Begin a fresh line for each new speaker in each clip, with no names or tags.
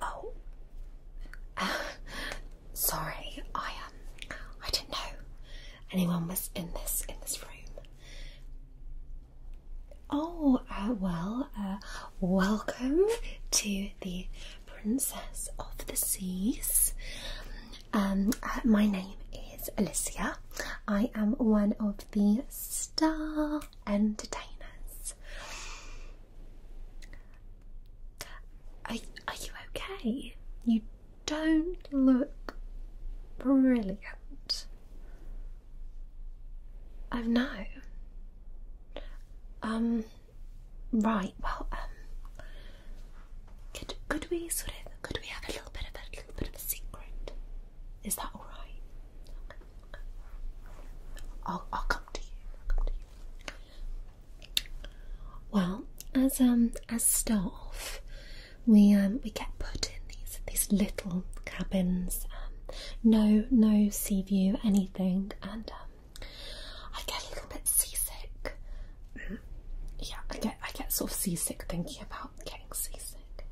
Oh, sorry. I um, I didn't know anyone was in this in this room. Oh, uh, well, uh, welcome to the Princess of the Seas. Um, uh, my name is Alicia. I am one of the Star Entertainers. Are, you okay? You don't look brilliant. Oh no. Um, right. Well, um, could we sort of could we have a little bit of a little bit of a secret? Is that all right? I'll I'll come to you. Well, as um as staff, we um we get put in these these little cabins. Um, no no sea view anything, and um, I get a little bit seasick. Yeah, I get I get sort of seasick thinking about getting seasick.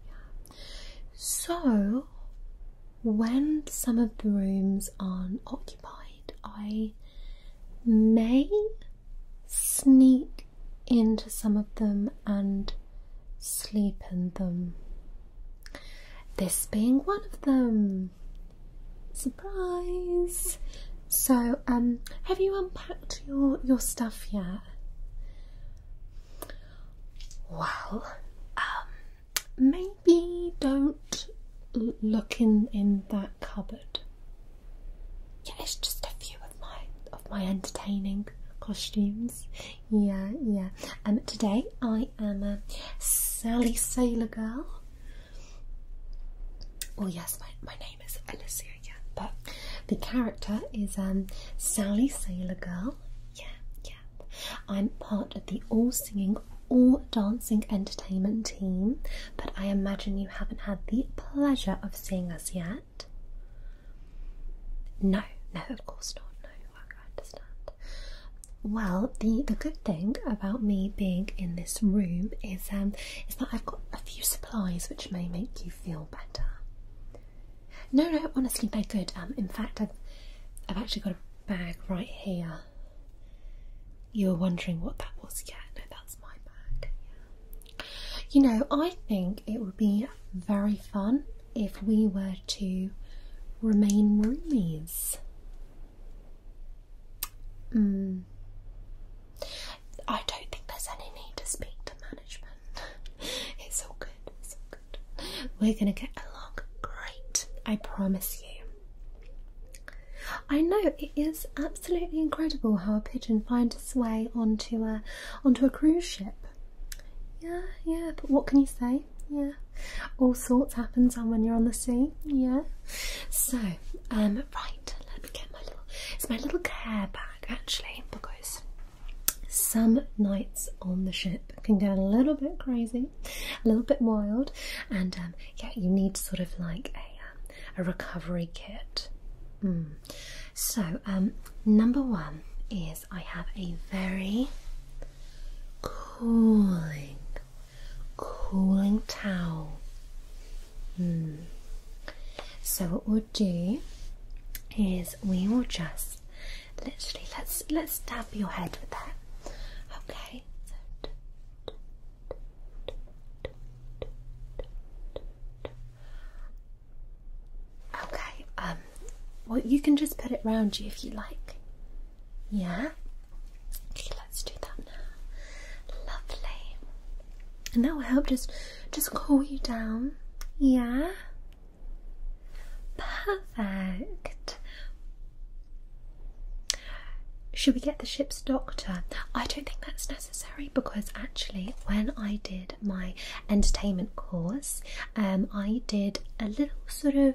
So, when some of the rooms aren't occupied, I may sneak into some of them and sleep in them. This being one of them. Surprise! So, um, have you unpacked your your stuff yet? Well, um, maybe don't look in in that cupboard. Yeah, it's just a few of my of my entertaining costumes. Yeah, yeah. And um, today I am a Sally Sailor Girl. Oh yes, my my name is Alyssa see But the character is um, Sally Sailor Girl. Yeah, yeah. I'm part of the all singing, all dancing entertainment team, but I imagine you haven't had the pleasure of seeing us yet. No, no, of course not. No, I understand. Well, the the good thing about me being in this room is um is that I've got a few supplies which may make you feel better. No, no, honestly, they're good. Um, in fact, I've, I've actually got a bag right here. You were wondering what that was, yeah? No, that's my bag. You know, I think it would be very fun if we were to remain roomies. Mm. I don't think there's any need to speak to management. It's all good. It's all good. We're gonna get along great. I promise you. I know it is absolutely incredible how a pigeon finds its way onto a onto a cruise ship. Yeah, yeah, but what can you say? Yeah, all sorts happens when you're on the sea. Yeah. So, um, right, let me get my little. It's my little care bag actually because some nights on the ship can get a little bit crazy, a little bit wild, and um, yeah, you need sort of like a, um, a recovery kit. Hmm. So, um, number one is I have a very cooling, cooling towel. Hmm. So, what will do is we will just literally let's let's dab your head with that. Okay. Okay, um, well, you can just put it round you if you like. Yeah? Okay, let's do that now. Lovely and that will help just just cool you down yeah perfect should we get the ship's doctor i don't think that's necessary because actually when i did my entertainment course um, i did a little sort of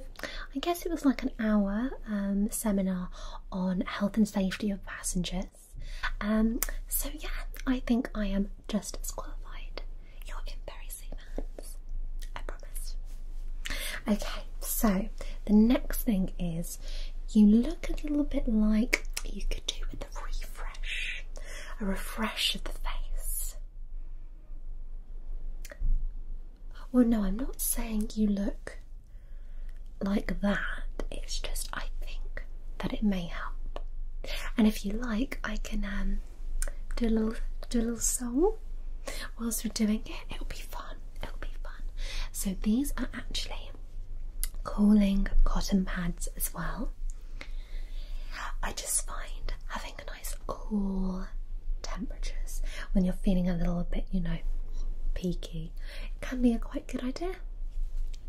i guess it was like an hour um, seminar on health and safety of passengers um, so yeah, I think I am just as qualified. You're in very safe hands. I promise. Okay, so the next thing is you look a little bit like you could do with a refresh. A refresh of the face. Well, no, I'm not saying you look like that. It's just, I think that it may help. And if you like, I can um, do a little do a little song whilst we're doing it. It'll be fun. It'll be fun. So these are actually cooling cotton pads as well. I just find having a nice cool temperatures when you're feeling a little bit, you know, peaky, can be a quite good idea.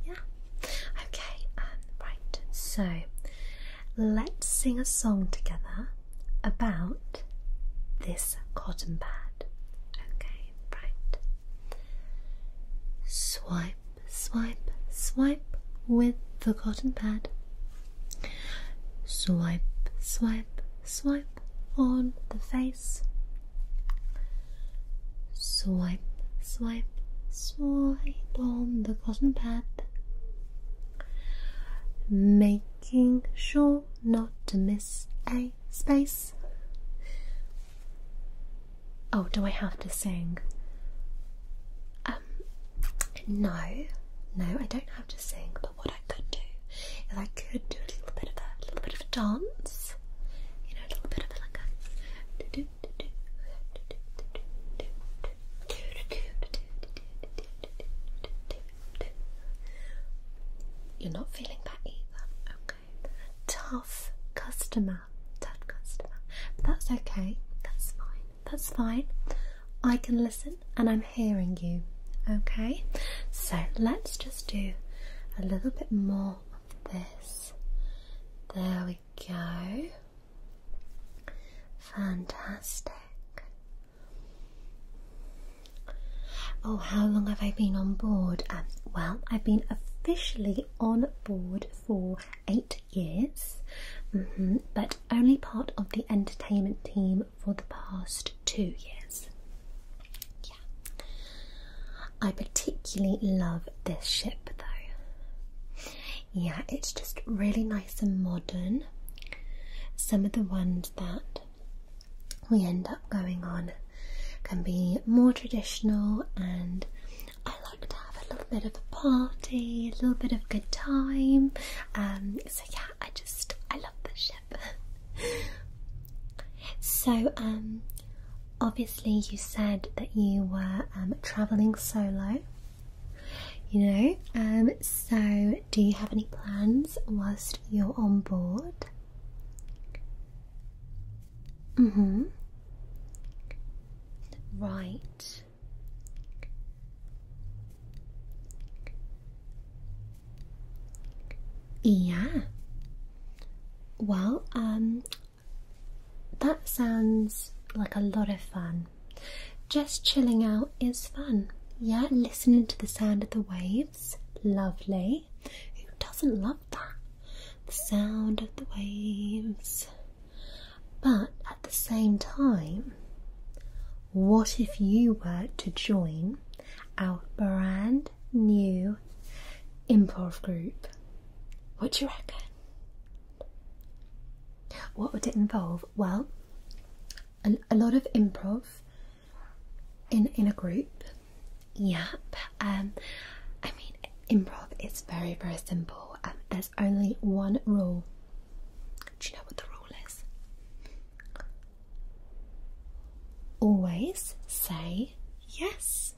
Yeah. Okay, um, right. So let's sing a song together about this cotton pad. Okay, right. Swipe, swipe, swipe with the cotton pad. Swipe, swipe, swipe on the face. Swipe, swipe, swipe on the cotton pad, making sure not to miss a space. Oh, do I have to sing? Um, no, no, I don't have to sing. But what I could do is I could do a little bit of a, little bit of a dance. You know, a little bit of a, like a you're not feeling that either. Okay. Tough customer. Tough customer. that's okay. That's fine. That's fine. I can listen and I'm hearing you. Okay. So let's just do a little bit more this. There we go. Fantastic. Oh, how long have I been on board? Uh, well, I've been officially on board for eight years, mm-hmm. but only part of the entertainment team for the past two years. Yeah. I particularly love this ship though. Yeah, it's just really nice and modern. Some of the ones that we end up going on can be more traditional, and I like to have a little bit of a party, a little bit of good time. Um, so yeah, I just I love this ship. so um, obviously you said that you were um, traveling solo you know um, so do you have any plans whilst you're on board mm-hmm right yeah well um that sounds like a lot of fun. Just chilling out is fun. Yeah, listening to the sound of the waves. Lovely. Who doesn't love that? The sound of the waves. But at the same time, what if you were to join our brand new improv group. What do you reckon? What would it involve? Well, a, lot of improv in in a group. Yep. Um, I mean, improv is very very simple. Um, there's only one rule. Do you know what the rule is? Always say yes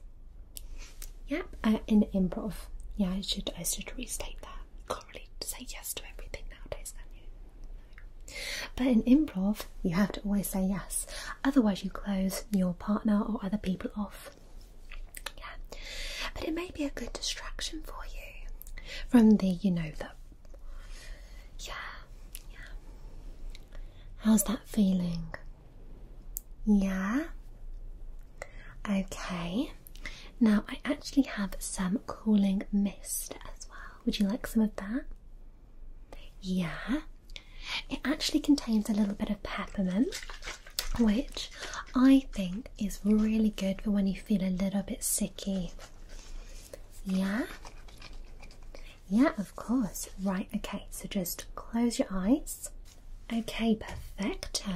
yeah, uh, in improv. Yeah, I should I should restate that. You can't really say yes to everything nowadays, can you? But in improv, you have to always say yes. Otherwise, you close your partner or other people off. Yeah, but it may be a good distraction for you from the you know the. Yeah, yeah. How's that feeling? Yeah. Okay. Now I actually have some cooling mist as well. Would you like some of that? Yeah. It actually contains a little bit of peppermint, which I think is really good for when you feel a little bit sicky. Yeah. Yeah, of course. Right, okay, so just close your eyes. Okay, perfecto.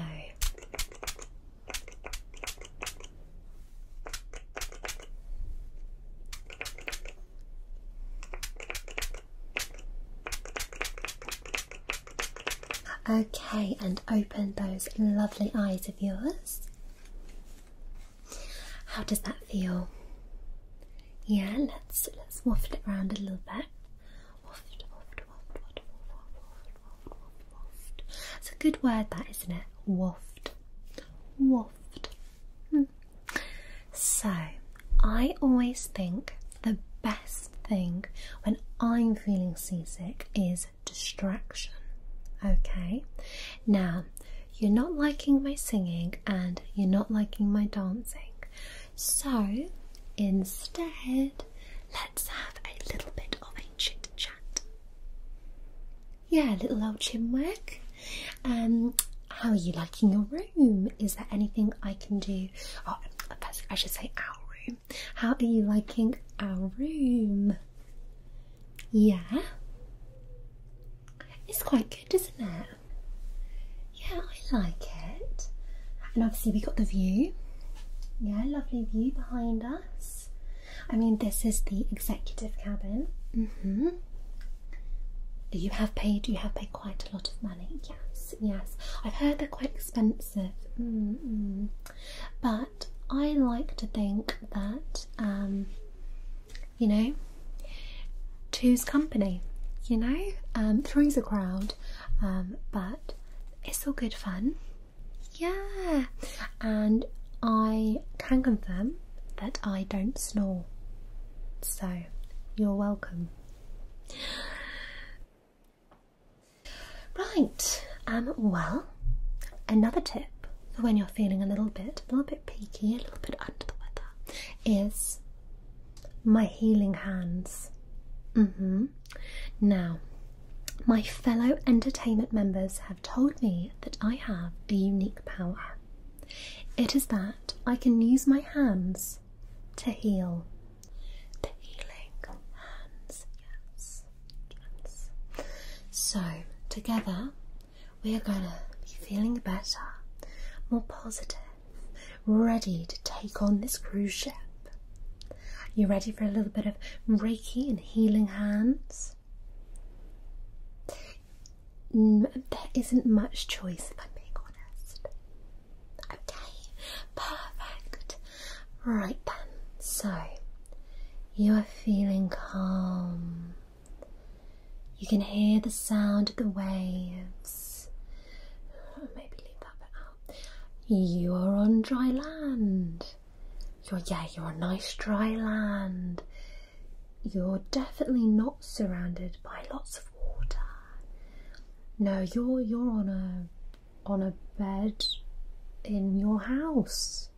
Okay, and open those lovely eyes of yours. How does that feel? Yeah, let's let's waft it around a little bit. Waft, waft, waft, waft, waft, waft, waft, waft, It's a good word, that isn't it? Waft, waft. Hmm. So, I always think the best thing when I'm feeling seasick is distraction. Okay, now you're not liking my singing and you're not liking my dancing. So instead, let's have a little bit of a chit chat. Yeah, little old chinwag. Um, how are you liking your room? Is there anything I can do? Oh, I should say our room. How are you liking our room? Yeah. It's quite good, isn't it? Yeah, I like it. And obviously we got the view. Yeah, lovely view behind us. I mean, this is the executive cabin. Mm-hmm. You have paid. You have paid quite a lot of money. Yes, yes. I've heard they're quite expensive. Mm-hmm. But I like to think that um, you know, two's company, you know, um, three's a crowd, um, but it's all good fun, yeah. And I can confirm that I don't snore, so you're welcome. Right, um, well, another tip when you're feeling a little bit, a little bit peaky, a little bit under the weather, is my healing hands. Mm-hmm. Now, my fellow entertainment members have told me that I have a unique power. It is that I can use my hands to heal. The healing hands, yes. So, together we are gonna be feeling better, more positive, ready to take on this cruise ship. You ready for a little bit of Reiki and healing hands? Mm, there isn't much choice, if I'm being honest. Okay, perfect. Right then, so you are feeling calm. You can hear the sound of the waves. Oh, maybe leave that bit out. You are on dry land. You're, yeah, you're on nice dry land. You're definitely not surrounded by lots of water. No, you're you're on a on a bed in your house.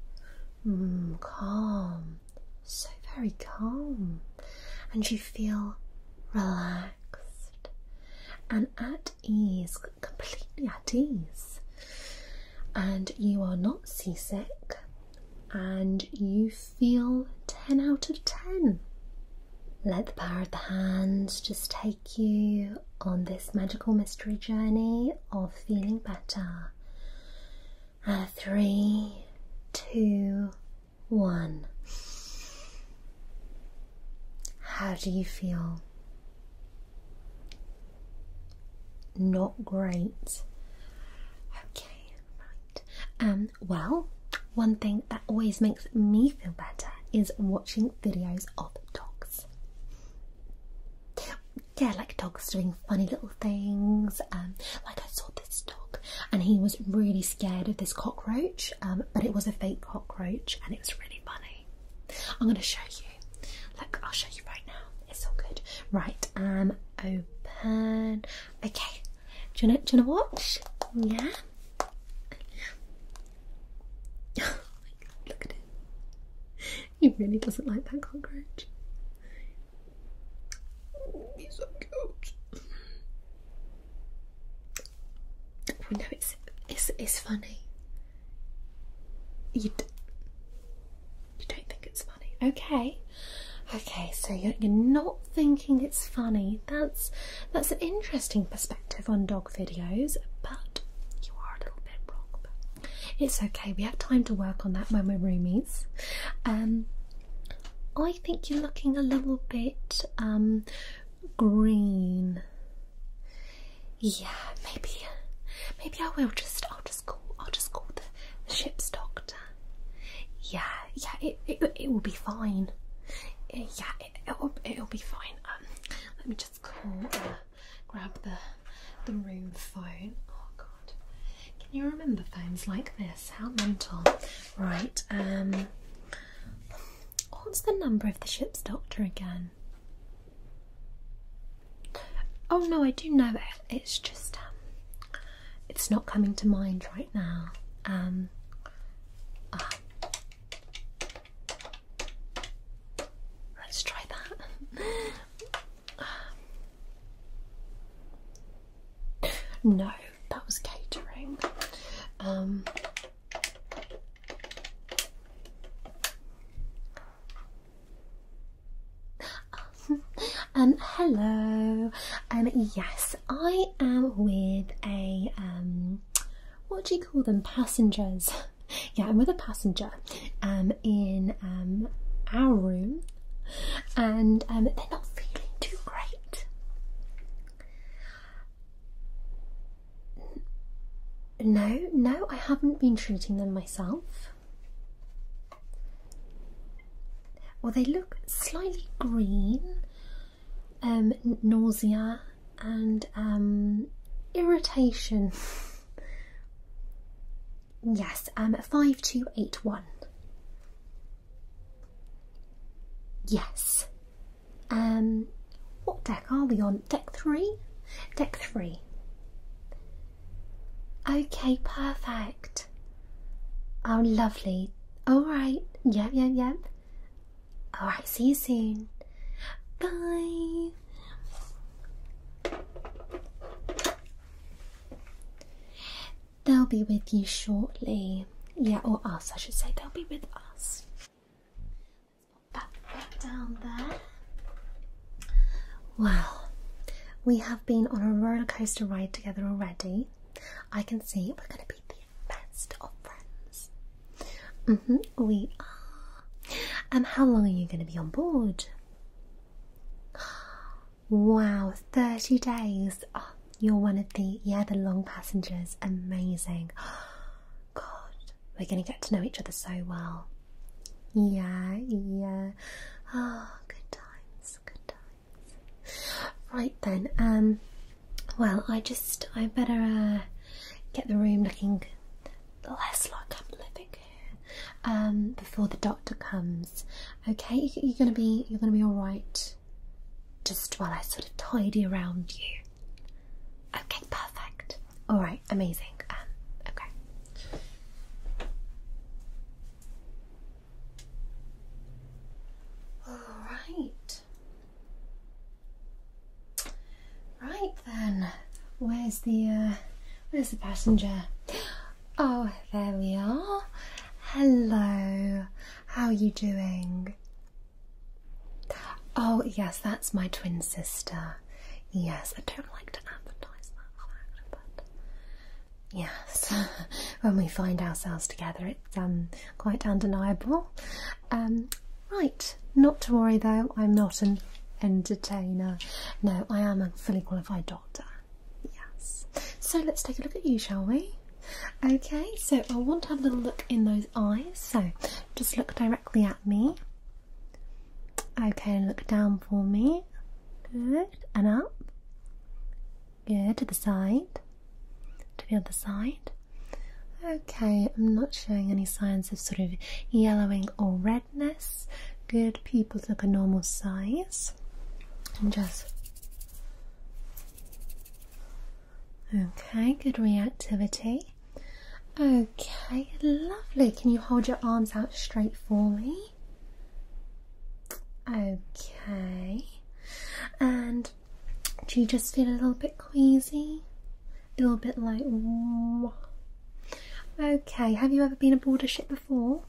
Hmm, calm so very calm, and you feel relaxed and at ease, completely at ease. And you are not seasick, and you feel 10 out of 10. Let the power of the hands just take you on this magical mystery journey of feeling better. And uh, three, two, one. How do you feel? Not great. Okay, right. Um, well, one thing that always makes me feel better is watching videos of dogs. Yeah, like dogs doing funny little things. Um, like I saw this dog, and he was really scared of this cockroach. Um, but it was a fake cockroach, and it was really funny. I'm going to show you. Look, I'll show you right now. It's all good. Right, um, open. Okay. Do you know? Do you know what? Yeah. Oh Look at it. He really doesn't like that cockroach. Oh, he's so cute. Oh, no, it's it's funny. You you don't think it's funny, okay? Okay, so you're you're not thinking it's funny. That's that's an interesting perspective on dog videos, but you are a little bit wrong. But it's okay. We have time to work on that when we're roomies. Um, I think you're looking a little bit um, green. Yeah, maybe, maybe I will just. I'll just call. I'll just call the, ship's doctor. Yeah, yeah, it it, will be fine. Yeah, it, it'll it'll be fine. Um, let me just call. Uh, grab the the room phone. Oh, can you remember phones like this? How mental. Right, um, what's the number of the ship's doctor again? Oh no, I do know it. It's just um, it's not coming to mind right now. Um, ah. Let's try that. No, that was catering. Um, um, hello. Um, yes, I am with a um, what do you call them? Passengers. yeah, I'm with a passenger. Um, in um our room and um, they're not feeling too great. No, no, I haven't been treating them myself. Well, they look slightly green, um, nausea, and um, irritation. Yes, um, 5281. Yes. Um, what deck are we on? Deck three? Deck three. Okay, perfect. Oh, lovely. All right. Yep, yep, yep. All right, see you soon. Bye. They'll be with you shortly. Yeah, or us, I should say. They'll be with us. Let's down there. Well, we have been on a roller coaster ride together already. I can see we're going to be the best of friends. Mm -hmm, we are. Um, how long are you going to be on board? Wow, 30 days. Oh, you're one of the, yeah, the long passengers. Amazing. God, we're going to get to know each other so well. Yeah, yeah. Oh, good times, good times. Right then, um, well, I just, I better, uh, get the room looking less like a am living um, before the doctor comes. Okay, you're gonna be you're gonna be all right. Just while I sort of tidy around you. Okay, perfect. All right, amazing. Um, okay. All right. Right then, where's the uh, where's the passenger? Oh, there we are. Hello. How are you doing? Oh, yes, that's my twin sister. Yes, I don't like to advertise that but yes, when we find ourselves together, it's um quite undeniable. Um, right, not to worry though. I'm not an entertainer. No, I am a fully qualified doctor. Yes. So let's take a look at you, shall we? Okay, so I want to have a little look in those eyes. So just look directly at me. Okay, look down for me. Good. And up. Good. To the side. To the other side. Okay, I'm not showing any signs of sort of yellowing or red good people look a normal size. And just okay, good reactivity. Okay, lovely. Can you hold your arms out straight for me? Okay, and do you just feel a little bit queasy? A little bit like. Okay, have you ever been aboard a ship before.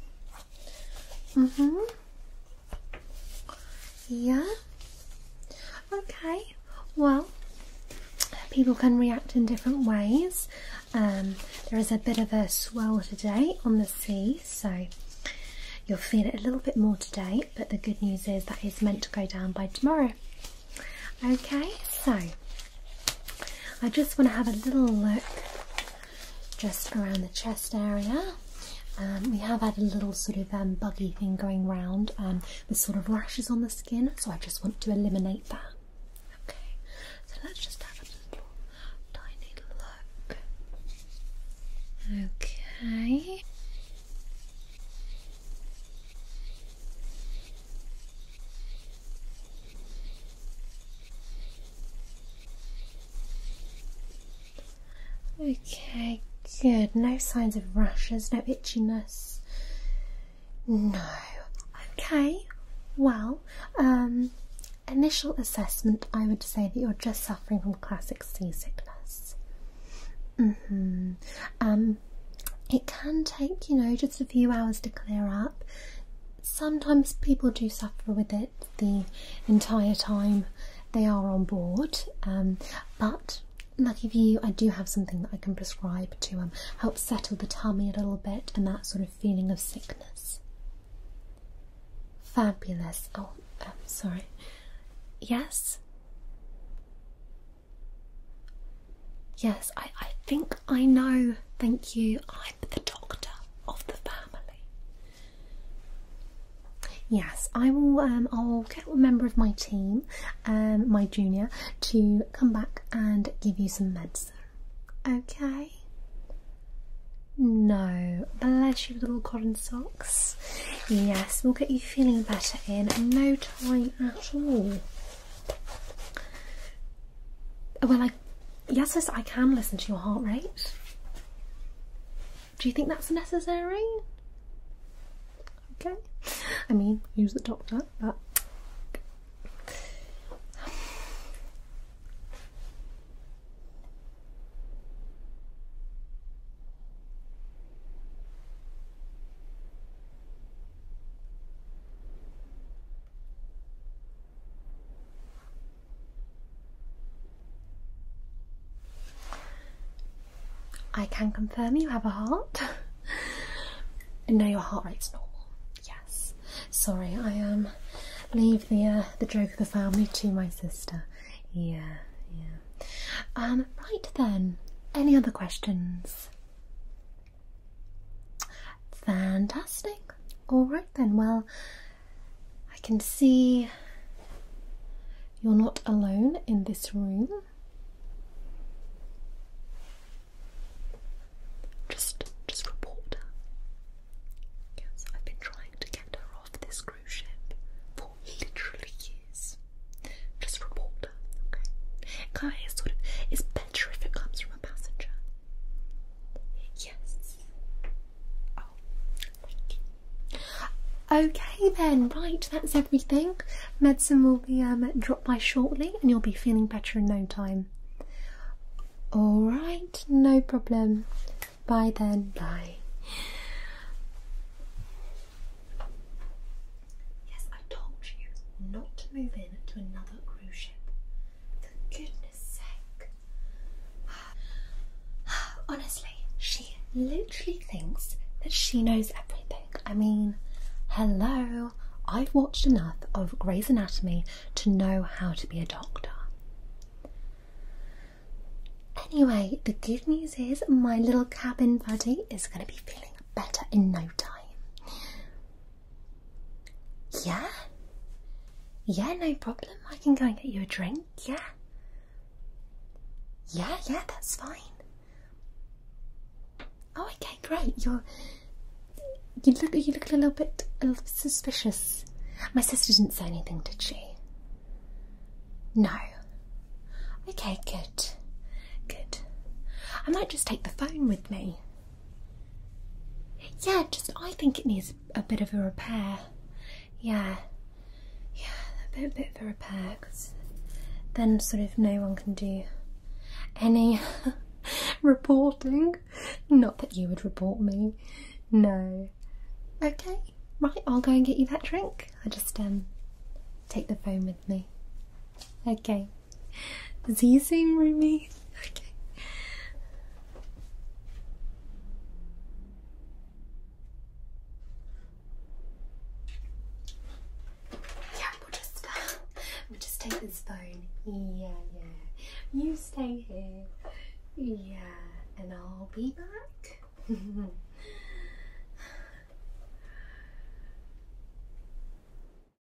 Mm hmm. Yeah. Okay. Well, people can react in different ways. Um, there is a bit of a swell today on the sea, so you'll feel it a little bit more today. But the good news is that is meant to go down by tomorrow. Okay, so I just want to have a little look just around the chest area. Um, we have had a little sort of um, buggy thing going round um, with sort of rashes on the skin, so I just want to eliminate that. Okay, so let's just have a tiny look. Okay. Okay, good. No signs of rashes, no itchiness. No. Okay, well, um, initial assessment I would say that you're just suffering from classic seasickness. hmm Um, it can take, you know, just a few hours to clear up sometimes people do suffer with it the entire time they are on board, um, but lucky for you, I do have something that I can prescribe to um, help settle the tummy a little bit and that sort of feeling of sickness. Fabulous. Oh, um, sorry. Yes? Yes, I, I think I know, thank you. I'm the doctor of the family. Yes, I will. Um, I'll get a member of my team, um, my junior, to come back and give you some medicine. Okay. No, bless you, little cotton socks. Yes, we'll get you feeling better in no time at all. Well, I, yes, I can listen to your heart rate. Do you think that's necessary? Okay. I mean, use the doctor, but. I can confirm you have a heart. no, your heart rate's normal. Yes. Sorry, I am um, leave the uh, the joke of the family to my sister. Yeah, yeah. Um, right then. Any other questions? Fantastic. All right then. Well, I can see you're not alone in this room. Just just report Yes, I've been trying to get her off this cruise ship for literally years. Just report her, okay? It sort of it's better if it comes from a passenger Yes. Oh, thank you. Okay then, right, that's everything. Medicine will be um, dropped by shortly and you'll be feeling better in no time. Alright, no problem. Bye then, bye. Yes, I told you not to move in to another cruise ship goodness sake. Honestly, she literally thinks that she knows everything. I mean, hello, I've watched enough of Grey's Anatomy to know how to be a doctor. Anyway, the good news is my little cabin buddy is going to be feeling better in no time. Yeah? Yeah, no problem. I can go and get you a drink, yeah? Yeah, yeah, that's fine. Oh, okay, great. You're you look you look a little bit a little bit suspicious. My sister didn't say anything, did she? No. Okay, good. Good. I might just take the phone with me. Yeah, just I think it needs a bit of a repair. Yeah, yeah, a bit, a bit of a repair because then sort of no one can do any reporting. Not that you would report me. No. Okay, right. I'll go and get you that drink. I just um take the phone with me. Okay. Is he saying roommate? Okay. Yeah, we'll just we'll just take this phone. Yeah, yeah. You stay here. Yeah, and I'll be back.